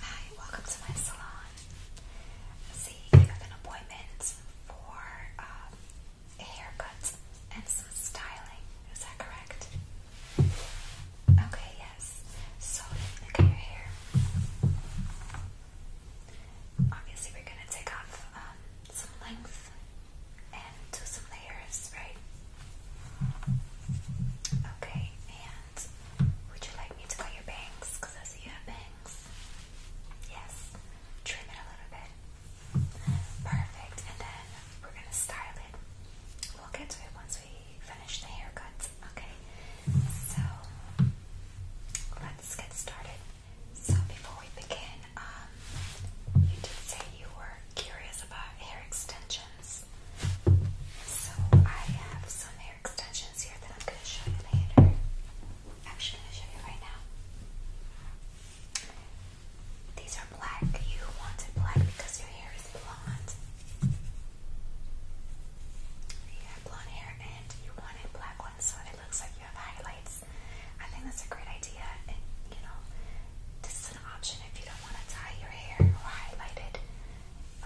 Hi, welcome to my salon. See, I have an appointment for um, a haircut and some styling. Is that correct? Okay, yes. So, look at your hair. Obviously, we're gonna take off um, some length and do some layers, right? Okay, and would you like me to cut your bangs? Because I see you have bangs. Yes. Trim it a little bit. Perfect. And then we're going to style it. We'll get to it once we finish the haircuts. Okay. So let's get started. So before we begin, um, you did say you were curious about hair extensions. So I have some hair extensions here that I'm going to show you later. Actually, I'm show you right now. These are black. You wanted black because your hair is blonde. You have blonde hair and you wanted black ones, so it looks like you have highlights. I think that's a great idea, and you know, this is an option if you don't want to dye your hair or highlight it.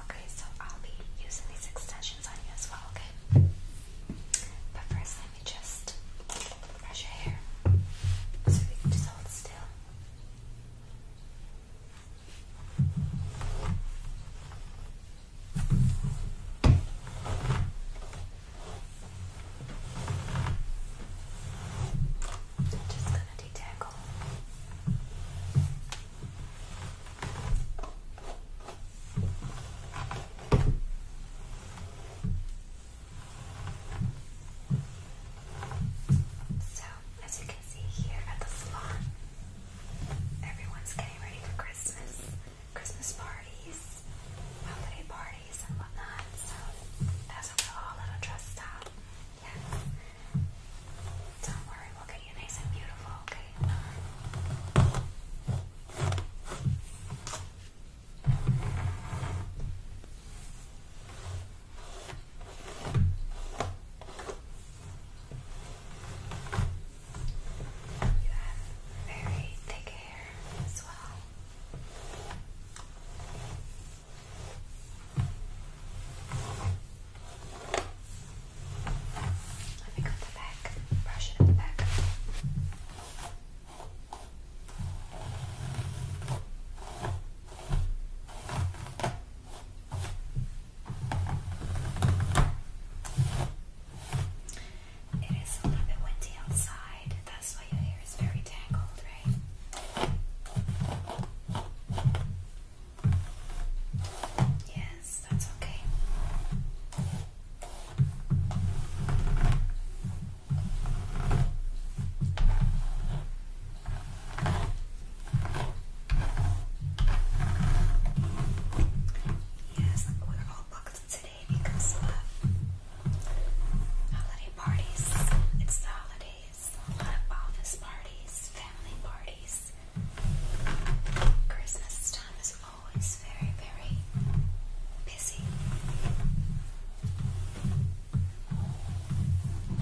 Okay, so I'll be using these extensions on you as well, okay? But first, let me just brush your hair. So we can just hold still. I'm just gonna detangle. So, as you can see here at the salon, everyone's getting ready for Christmas, Christmas parties, holiday parties, and whatnot. that's what we're all a little dressed don't worry, we'll get you nice and beautiful, okay? You have very thick hair as well. Let me go to the back, brush it in the back. It is a little bit windy outside, that's why your hair is very tangled, right? Yes, that's okay. Yes, we're all booked today because uh, holiday parties. It's the holiday a lot of office parties, family parties. Christmas time is always very, very busy.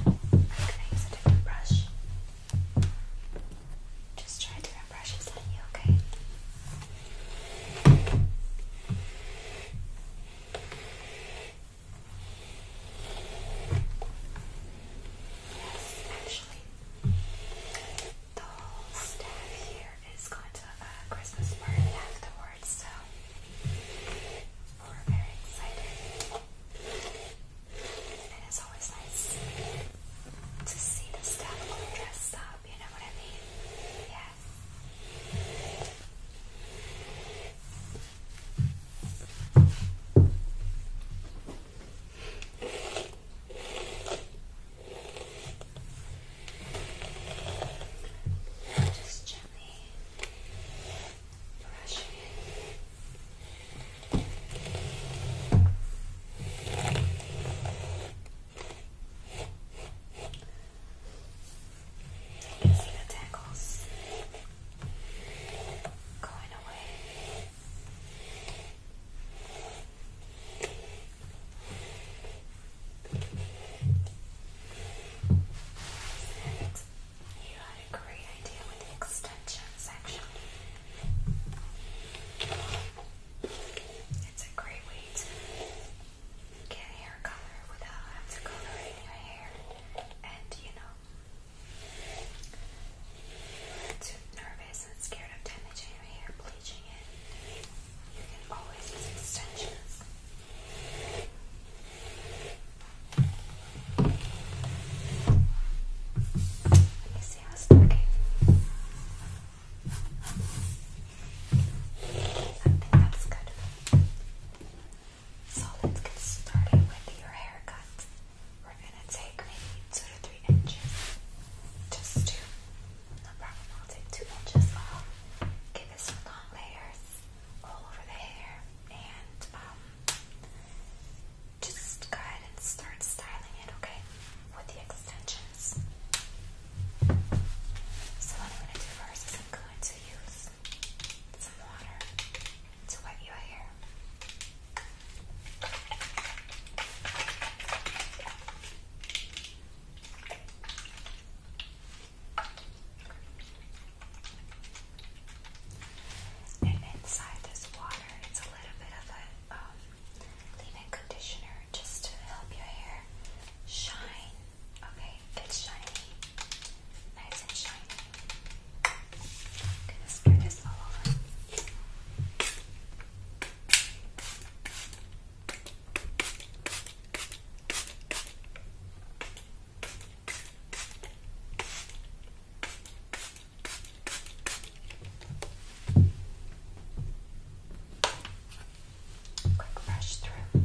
I'm going to use a different brush. Just try different brushes on you, Okay. Actually, the whole staff here is going to a Christmas party afterwards, so we're very excited. And it's always nice to see the uh, staff all dressed up, you know what I mean? Yeah. Just gently brushing. You can see the tangles going away. And you a great idea with the extension section. It's a great way to get hair color without having to color your hair. And you know, too nervous and scared of damaging your hair, bleaching it, you can always use extensions. Let me see how it's looking. I think that's good. So let's get started with your haircut. We're gonna take maybe two to three inches. Just two. No problem, I'll take two inches off. Give it some long layers all over the hair and um, just go ahead and start styling it, okay? With the extensions. So what I'm gonna do first is I'm going to use some water to wet your hair. And inside this water, it's a little bit of a um, leave-in conditioner just to help your hair shine Okay, it's shiny. Nice and shiny. gonna spread this all over. Quick brush through.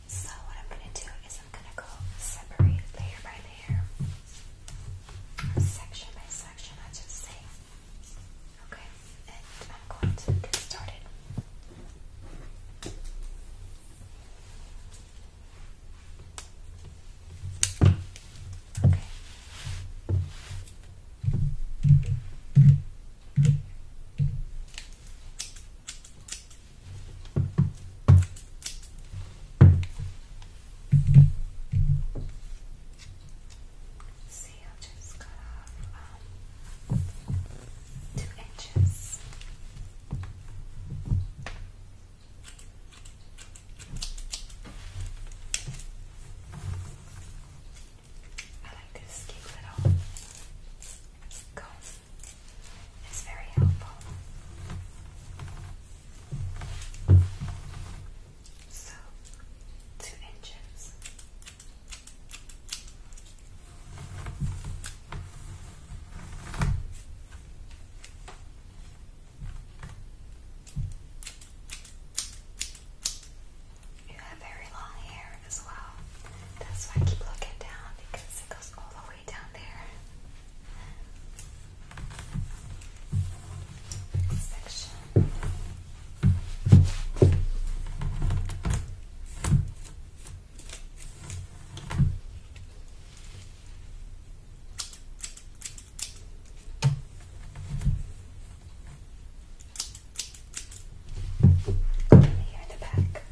So what I'm gonna do is I'm gonna go separate layer by layer, section by section, I should say. Okay, and I'm going to get started. Okay. See, i just cut off um, two inches. I like this cute little comb. It's very helpful. So, two inches. You have very long hair as well. That's why I keep looking down because it goes all the way down there. section. Here in the back.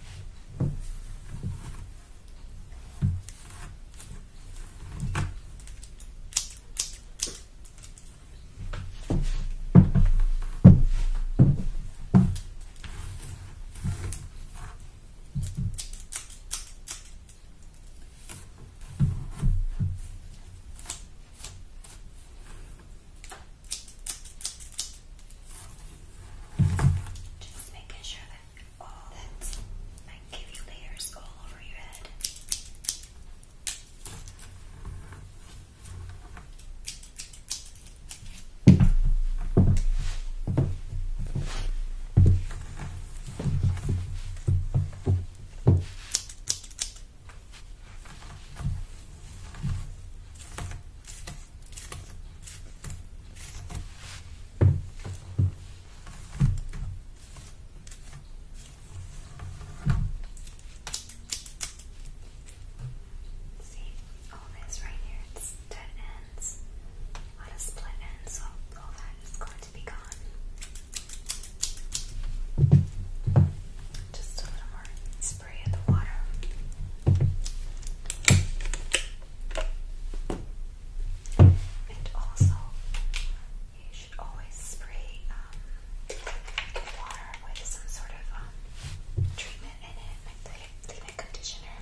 Just making sure that all that I give you layers all over your head. Okay. See all this right here, dead ends. A lot split ends, all that is going to be gone. Just a little more spray And also, you should always spray um, water with some sort of um, treatment in it, like leave conditioner.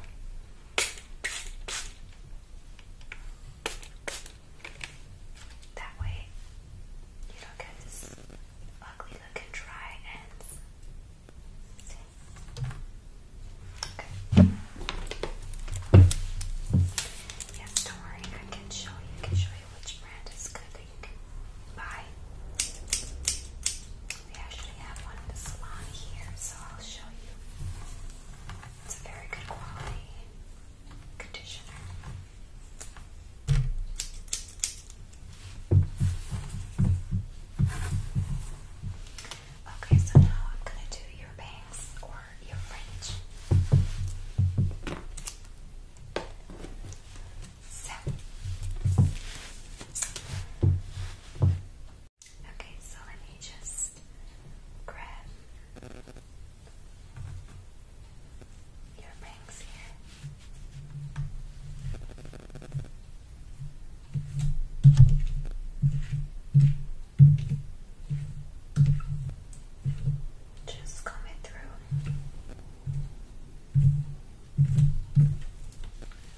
That way, you don't get this ugly looking dry ends. Okay. Yes, don't worry. I can show you. I can show you which brand is good that you can buy. They actually have one in the salon here, so I'll show you. It's a very good quality conditioner. Okay, so now I'm gonna do your bangs or your fringe. So Okay, so let me just grab your bangs here. Just comb through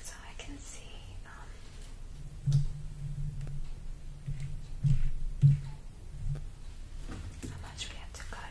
so I can see. Um, how much we have to cut?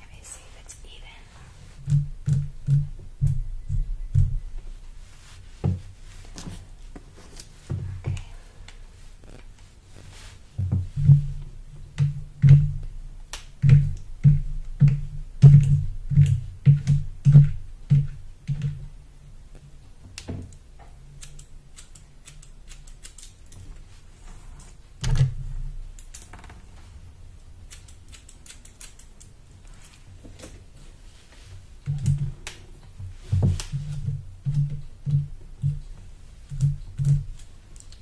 Let me see if it's even. Okay.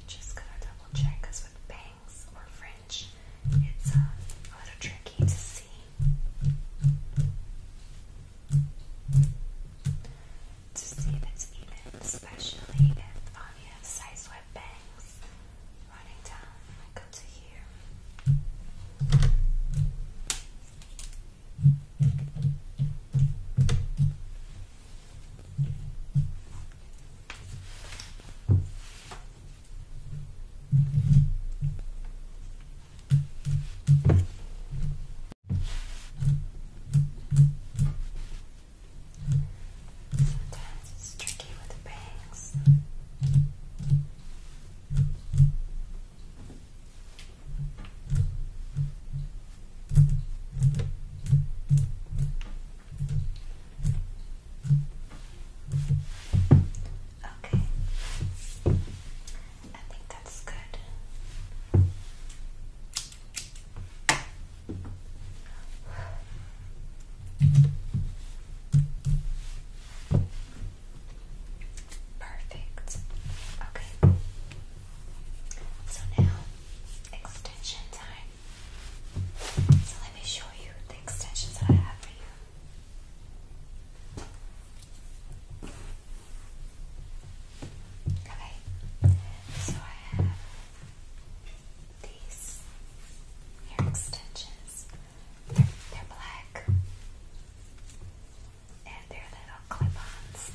Just gonna double check because with bangs or fringe, it's uh, a little tricky to see to see this even, especially if I have size web bangs running down like up to here. Sometimes it's tricky with the bangs. Okay, I think that's good. Perfect. Okay. So now, extension time. So let me show you the extensions that I have for you. Okay. So I have these hair extensions. They're, black. And they're little clip-ons.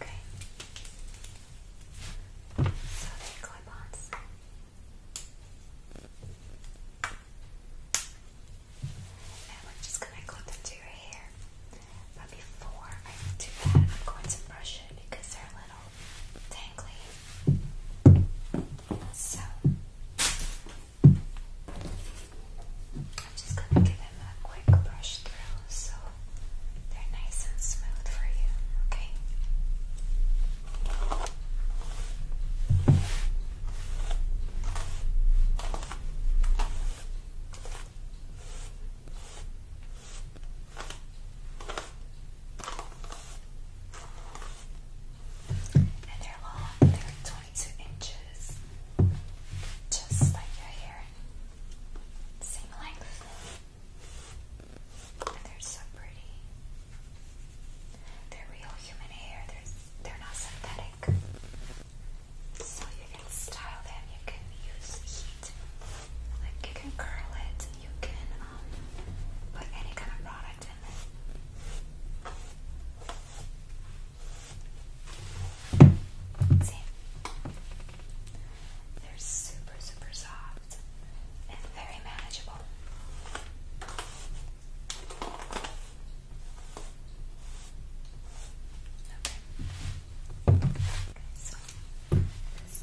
Okay. So they clip-ons. And we're just gonna clip into your hair. But before I do that, I'm going to brush it because they're a little tangly. So I'm just going to give them a quick brush through so they're nice and smooth for you, okay? And they're long, they're 22 inches, just like your hair, same length. And they're so pretty. They're real human hair, they're, they're not synthetic. So you can style them, you can use heat, like you can curl it, you can um, put any kind of product in it. See? They're super, super soft and very manageable. So let's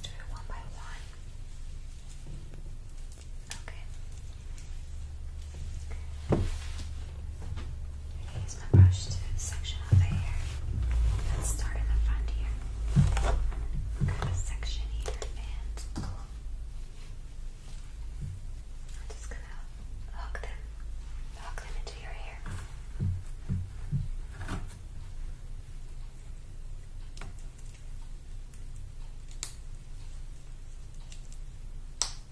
do it one by one. Okay. use my brush to section off the hair. Let's start in the front here. section here and I'm just gonna hook them, hook them into your hair here.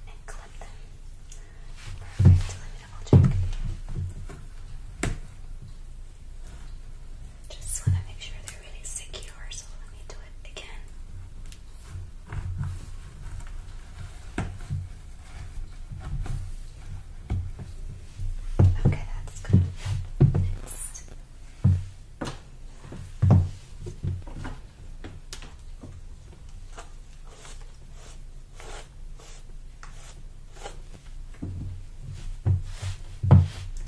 And clip them. Perfect. Let me double check. Just want to make sure they're really secure, so let me do it again. Okay, that's good. Next.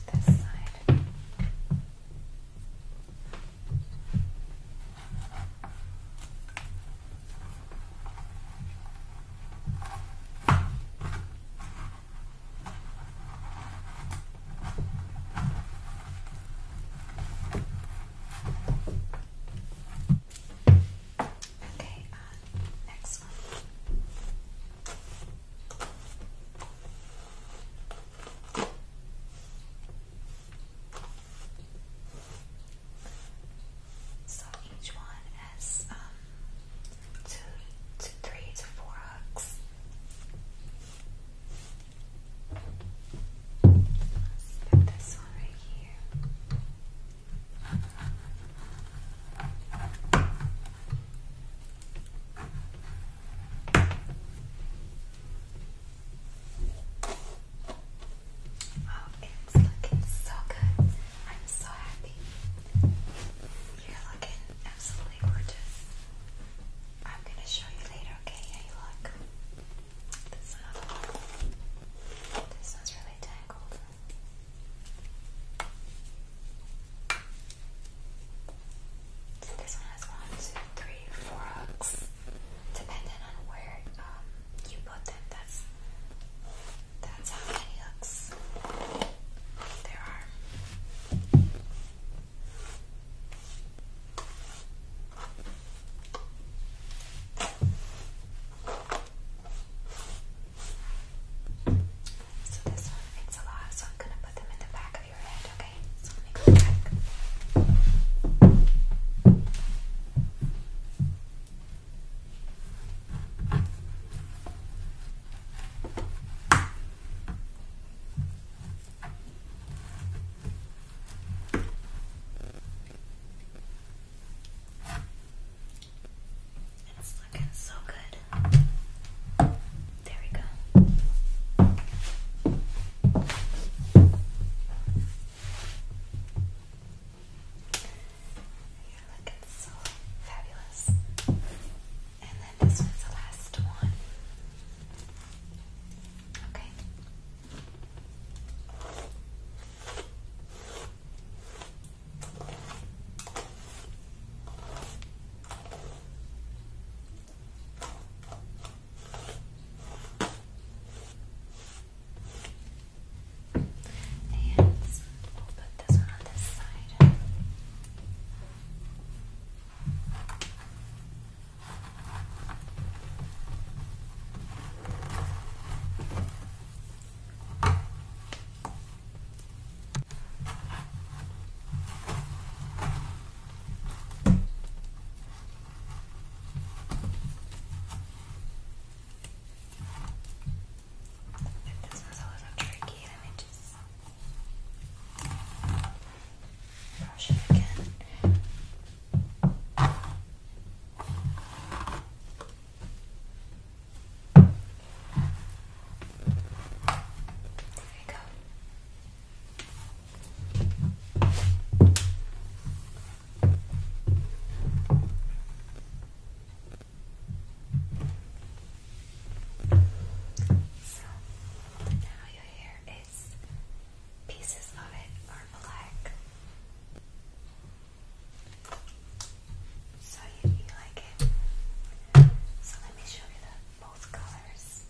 This side. Okay, uh, next one. So each one has um, hooks. let this one right here. Oh, it's looking so good. I'm so happy. You're looking absolutely gorgeous. I'm gonna show you later, okay? How you look. This one. This one's really tangled. this one has one, two, three, four hooks, depending on where um, you put them. That's that's how many hooks there are. So this one fits a lot, so I'm gonna put them in the back of your head, okay? So let me go back. It's looking so good. There we go. You're looking so fabulous. And then this one's the last one. Okay. And we'll put this one on this side. If this was a little tricky, let me just brush it again. There we go. So now your hair is pieces of it are black. So you, you like it. So let me show you the both colors.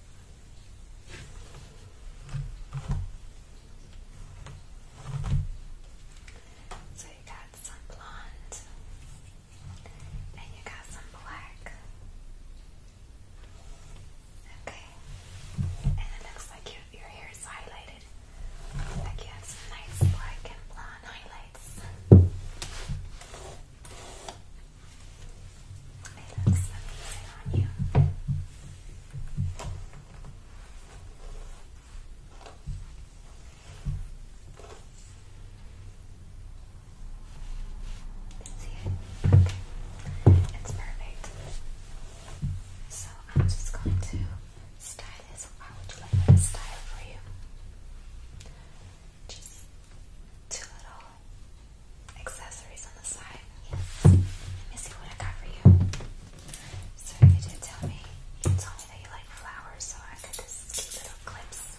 So you got some blonde and you got some black. Okay. And it looks like your your hair is highlighted. Like you have some nice black and blonde highlights. It looks amazing on you. See it? Okay. It's perfect. So I'm just going to style this. How would you like me style for you? Just two little accessories on what I got for you. So you did tell me, you told me that you like flowers, so I got this cute little clips.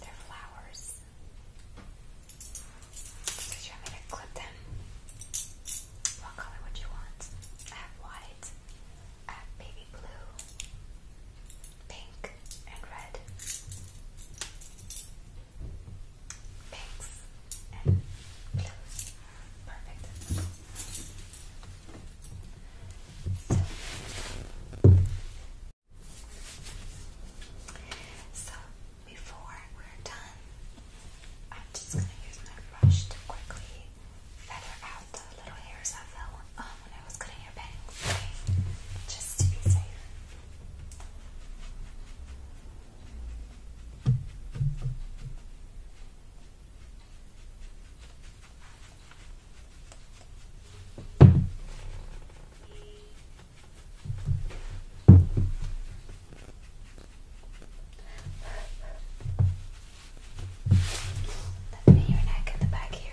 They're flowers. you want me to clip them? What color would you want? I have white, baby blue, pink, and red. Pinks and blues. Perfect. So, before we're done, I'm just gonna use my brush to quickly feather out the little hairs I fell when I was cutting your bangs. just to be safe. Let me your neck in the back here.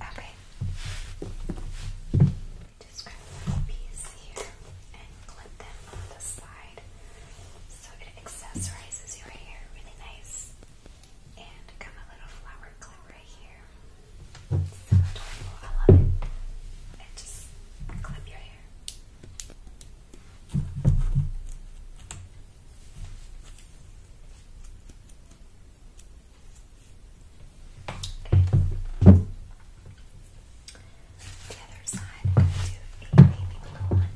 Okay. Just grab a little piece here and clip them on the side so it accessorizes your hair really nice. And got my little flower clip right here. so adorable. I love it. And just clip your hair. Okay. The other side, I'm going to do a baby blue one.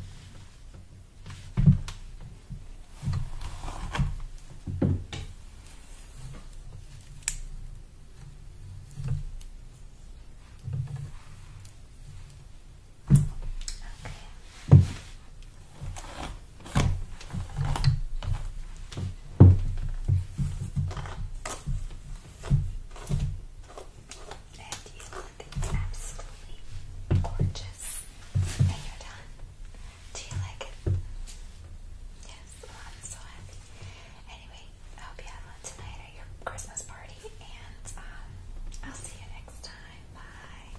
Okay. And you look absolutely gorgeous. And you're done. Do you like it? Yes, I'm so happy. Anyway, I hope you had fun tonight at your Christmas party, and um, I'll see you next time. Bye.